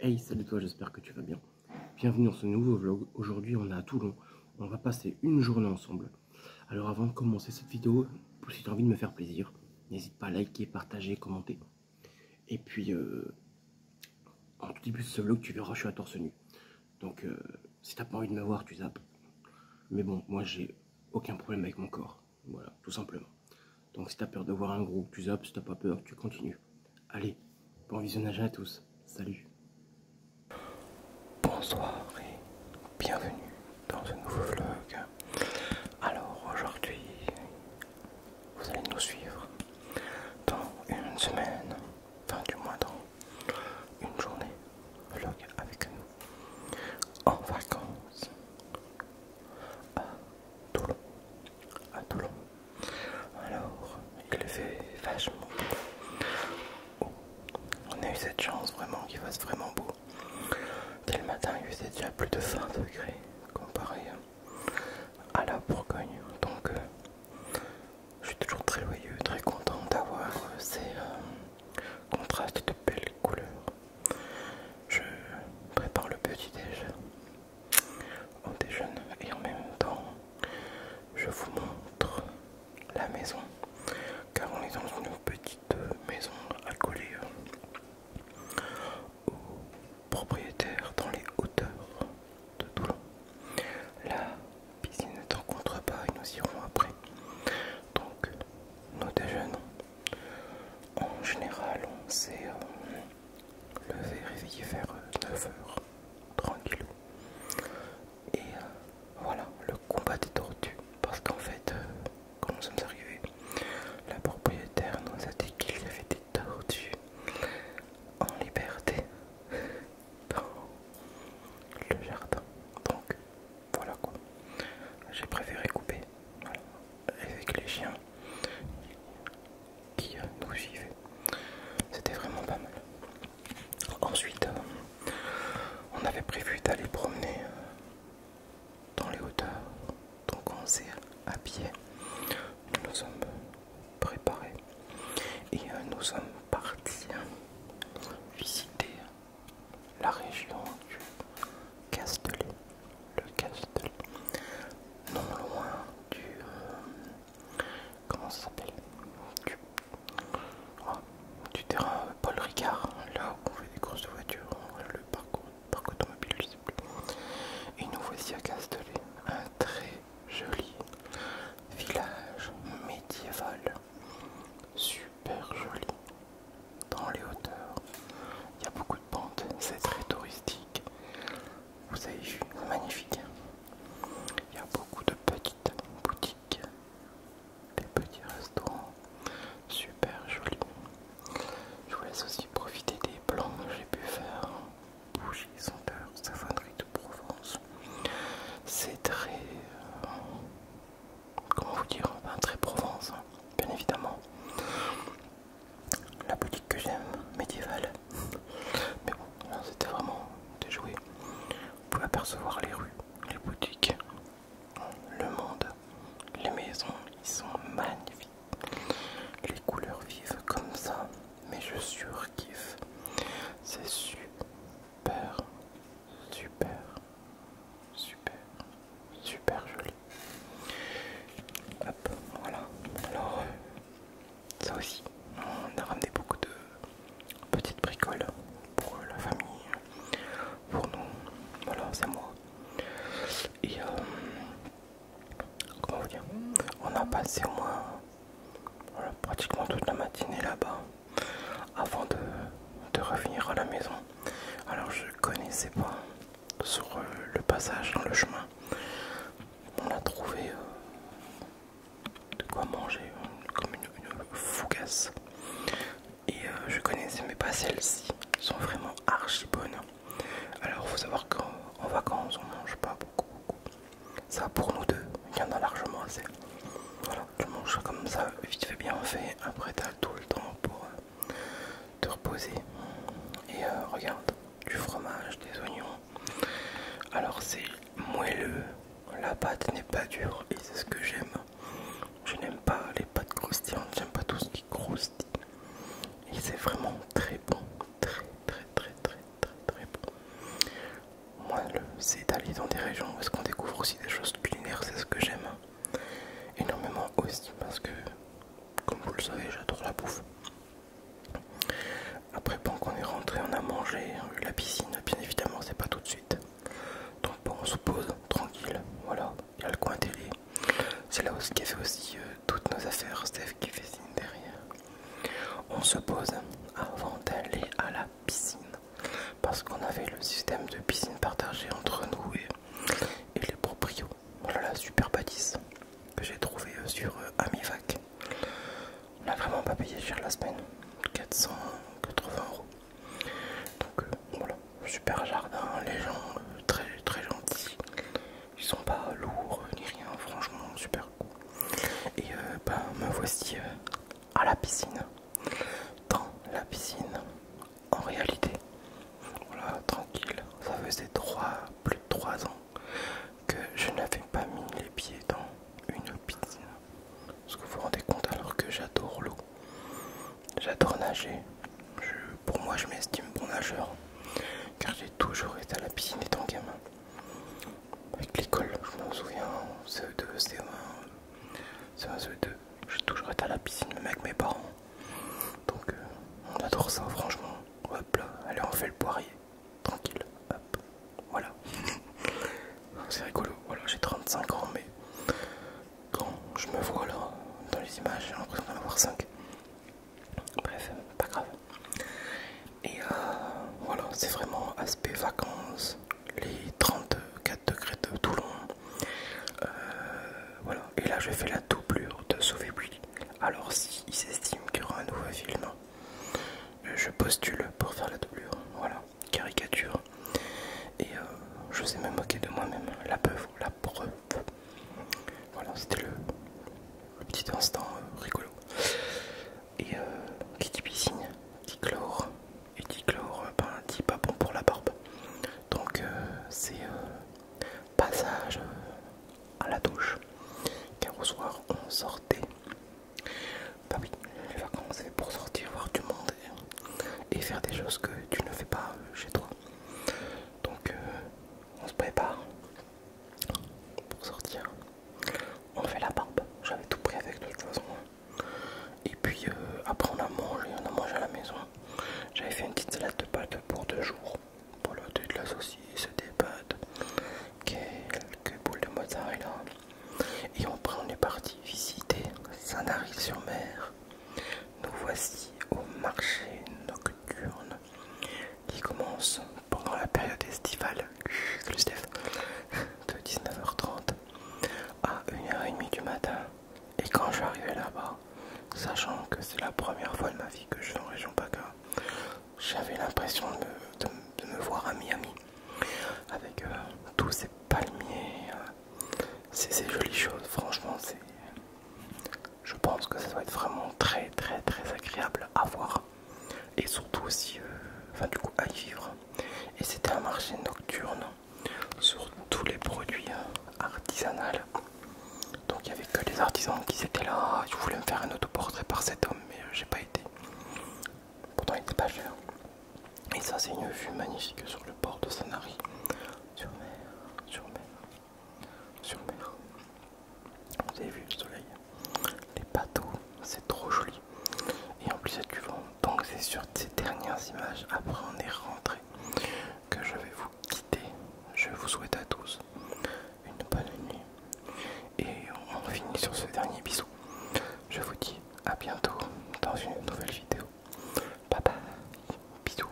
Hey salut toi j'espère que tu vas bien Bienvenue dans ce nouveau vlog Aujourd'hui on est à Toulon On va passer une journée ensemble Alors avant de commencer cette vidéo Si tu as envie de me faire plaisir N'hésite pas à liker, partager, commenter Et puis euh, En tout début ce vlog tu verras je suis à torse nu Donc euh, si t'as pas envie de me voir tu zappes Mais bon moi j'ai aucun problème avec mon corps voilà, tout simplement. Donc si t'as peur de voir un groupe, tu zappes, si t'as pas peur, tu continues. Allez, bon visionnage à tous. Salut. Bonsoir et bienvenue dans ce nouveau vlog. Alors aujourd'hui, vous allez nous suivre dans une semaine, enfin du moins dans une journée, vlog avec nous en vacances. Ah, Toulon. À Toulon. Alors, il fait vachement oh, On a eu cette chance vraiment qu'il fasse vraiment beau. Dès le matin, il faisait déjà plus de 20 degrés comparé à la Bourgogne. Donc, euh, je suis toujours très joyeux, très content d'avoir ces euh, contrastes de belles couleurs je prépare le petit déjeuner au déjeuner et en même temps je vous montre la maison car on est dans une petite maison accolée au propriétaire dans les hauteurs de Toulon. La piscine ne t'encontre pas, et nous irons après. Donc nous déjeunons. En général, on s'est le euh, levé, réveillé vers 9h, euh, tranquillou. Et euh, voilà, le combat des tortues. Parce qu'en fait, quand nous sommes arrivés, la propriétaire nous a dit qu'il y avait des tortues en liberté dans le jardin. Donc, voilà quoi. J'ai préféré couper. Voilà avec les chiens qui euh, nous suivaient. C'était vraiment pas mal. Ensuite, euh, on avait prévu d'aller promener euh, dans les hauteurs, donc on s'est à pied. Nous nous sommes préparés et nous sommes partis hein, visiter la région du Castellet, le Castellet, non loin du... Euh, comment ça s'appelle oh, du, terrain euh, Paul Ricard, là où on fait des courses de voitures, euh, le parcours, parc automobile, je sais plus. Et nous voici à Castellet, un très joli village médiéval, super joli dans les hauteurs. Il y a beaucoup de pentes, c'est très touristique. Vous avez vu, c'est magnifique. Il y a beaucoup de petites boutiques, des petits restaurants, super jolis. Je vous laisse aussi profiter des plans que j'ai pu faire. bougies, senteur, savonnerie de Provence. C'est très... Euh, comment vous dire, très Provence, hein, bien évidemment. La boutique que j'aime, médiévale. Mais bon, c'était vraiment déjoué. Vous pouvez apercevoir les rues, les boutiques, le monde, les maisons, ils sont magnifiques. Les couleurs vivent comme ça, mais je surkiffe. C'est super Super, super, super joli. Hop, voilà. Alors, euh, ça aussi, on a ramené beaucoup de petites bricoles pour la famille, pour nous. Voilà, c'est moi. Et, euh, comment vous dire, on a passé au moins pratiquement toute la matinée là-bas avant de, revenir à la maison. Alors je connaissais pas sur euh, le passage dans le chemin. On a trouvé euh, de quoi manger, comme une, fougasse. Et euh, je connaissais mais pas celles-ci, sont vraiment archi bonnes. Alors faut savoir qu'en vacances on mange pas beaucoup, beaucoup. Ça pour nous deux, il y en a largement assez. Voilà. Je tu comme ça, vite fait bien fait. Après, t'as tout le temps pour euh, te reposer. Et euh, regarde, du fromage, des oignons. Alors, c'est moelleux. La pâte n'est pas dure et c'est ce que j'aime. Je n'aime pas les pâtes croustillantes, j'aime pas tout ce qui croustille. Et c'est vraiment très bon, très très très très très très bon. Moelleux c'est d'aller dans des régions où est-ce qu'on découvre aussi des choses culinaires, c'est ce que j'aime énormément aussi parce que, comme vous le savez, j'adore la bouffe. Après, bon, qu'on est rentré, on a mangé, on a eu la piscine, bien évidemment, c'est pas tout de suite. Donc, bon, on se pose tranquille, voilà, il y a le coin télé. C'est là aussi qui fait aussi euh, toutes nos affaires, Steph qui fait signe derrière. On se pose avant d'aller à la piscine parce qu'on avait le système de piscine partagée entre nous et, les proprios. Voilà la super bâtisse que j'ai trouvé euh, sur euh, Amivac. On n'a vraiment pas payé cher la semaine, 480 euros. Donc euh, voilà, super jardin, les gens très très gentils, ils sont pas lourds ni rien, franchement super cool. Et ben, me voici à la piscine. Dans la piscine, en réalité, voilà, tranquille, ça faisait trois plus de 3 ans que je n'avais pas mis les pieds dans une piscine. Parce que vous vous rendez compte alors que j'adore l'eau, j'adore nager. pour moi, je m'estime bon nageur, car j'ai toujours été à la piscine étant gamin. Avec l'école, je m'en souviens, CE2, CE1, c'est un souhait deux. Je toujours être à la piscine, même avec mes parents. Donc, euh, on adore ça, franchement. Hop là, allez, on fait le poirier. Tranquille, hop, voilà. C'est rigolo, voilà, j'ai 35 ans, mais quand je me vois là, dans les images, j'ai l'impression d'en avoir 5. Bref, pas grave. Et euh, voilà, c'est vraiment aspect vacances les 34 degrés de Toulon. Euh, voilà, et là je fais la doublure de sauver Alors si s'estime qu'il y aura un nouveau film, euh, je postule pour faire la doublure. Voilà, caricature. Et euh, je sais me moquer de moi-même. La peuf, la preuve. Voilà, c'était le, petit instant rigolo et euh, qui dit piscine dit chlore et dit chlore euh, ben, dit pas bon pour la barbe donc euh, c'est passage à la douche car au soir on sortait bah oui les vacances c'est pour sortir voir du monde et, faire des choses que tu ne fais pas chez toi donc on se prépare pour sortir on fait la barbe. J'avais tout pris avec le toute Et puis euh, après on a mangé, on a mangé à la maison. J'avais fait une petite salade de pâtes pour deux jours. Pour Voilà, de la saucisse, des pâtes, quelques boules de mozzarella. Et après on est parti visiter saint sur mer Nous voici au marché nocturne qui commence pendant la période estivale de 19h30 à 1h30 du matin. Et quand je suis arrivé là-bas, sachant que c'est la première fois de ma vie que je suis en région PACA, j'avais l'impression de me, voir à Miami avec euh, tous ces palmiers, euh, ces, jolies choses. Franchement, c'est, je pense que ça doit être vraiment très très très agréable à voir et surtout aussi, euh, enfin du coup à y vivre. Et c'était un marché nocturne sur tous les produits hein, artisanaux. Donc il n'y avait que les artisans qui étaient là. Je voulais me faire un autoportrait par cet homme mais euh, j'ai pas été. Pourtant il était pas cher. Et ça c'est une vue magnifique sur le port de Sanari. Sur mer, sur mer, sur mer. Vous avez vu le soleil, les bateaux, c'est trop joli. Et en plus, il y a du vent. Donc, c'est sur ces dernières images, après on est rentré, que je vais vous quitter. Je vous souhaite à tous une bonne nuit. Et on finit sur ce dernier bisou. Je vous dis à bientôt dans une nouvelle vidéo. Bye bye. Bisous.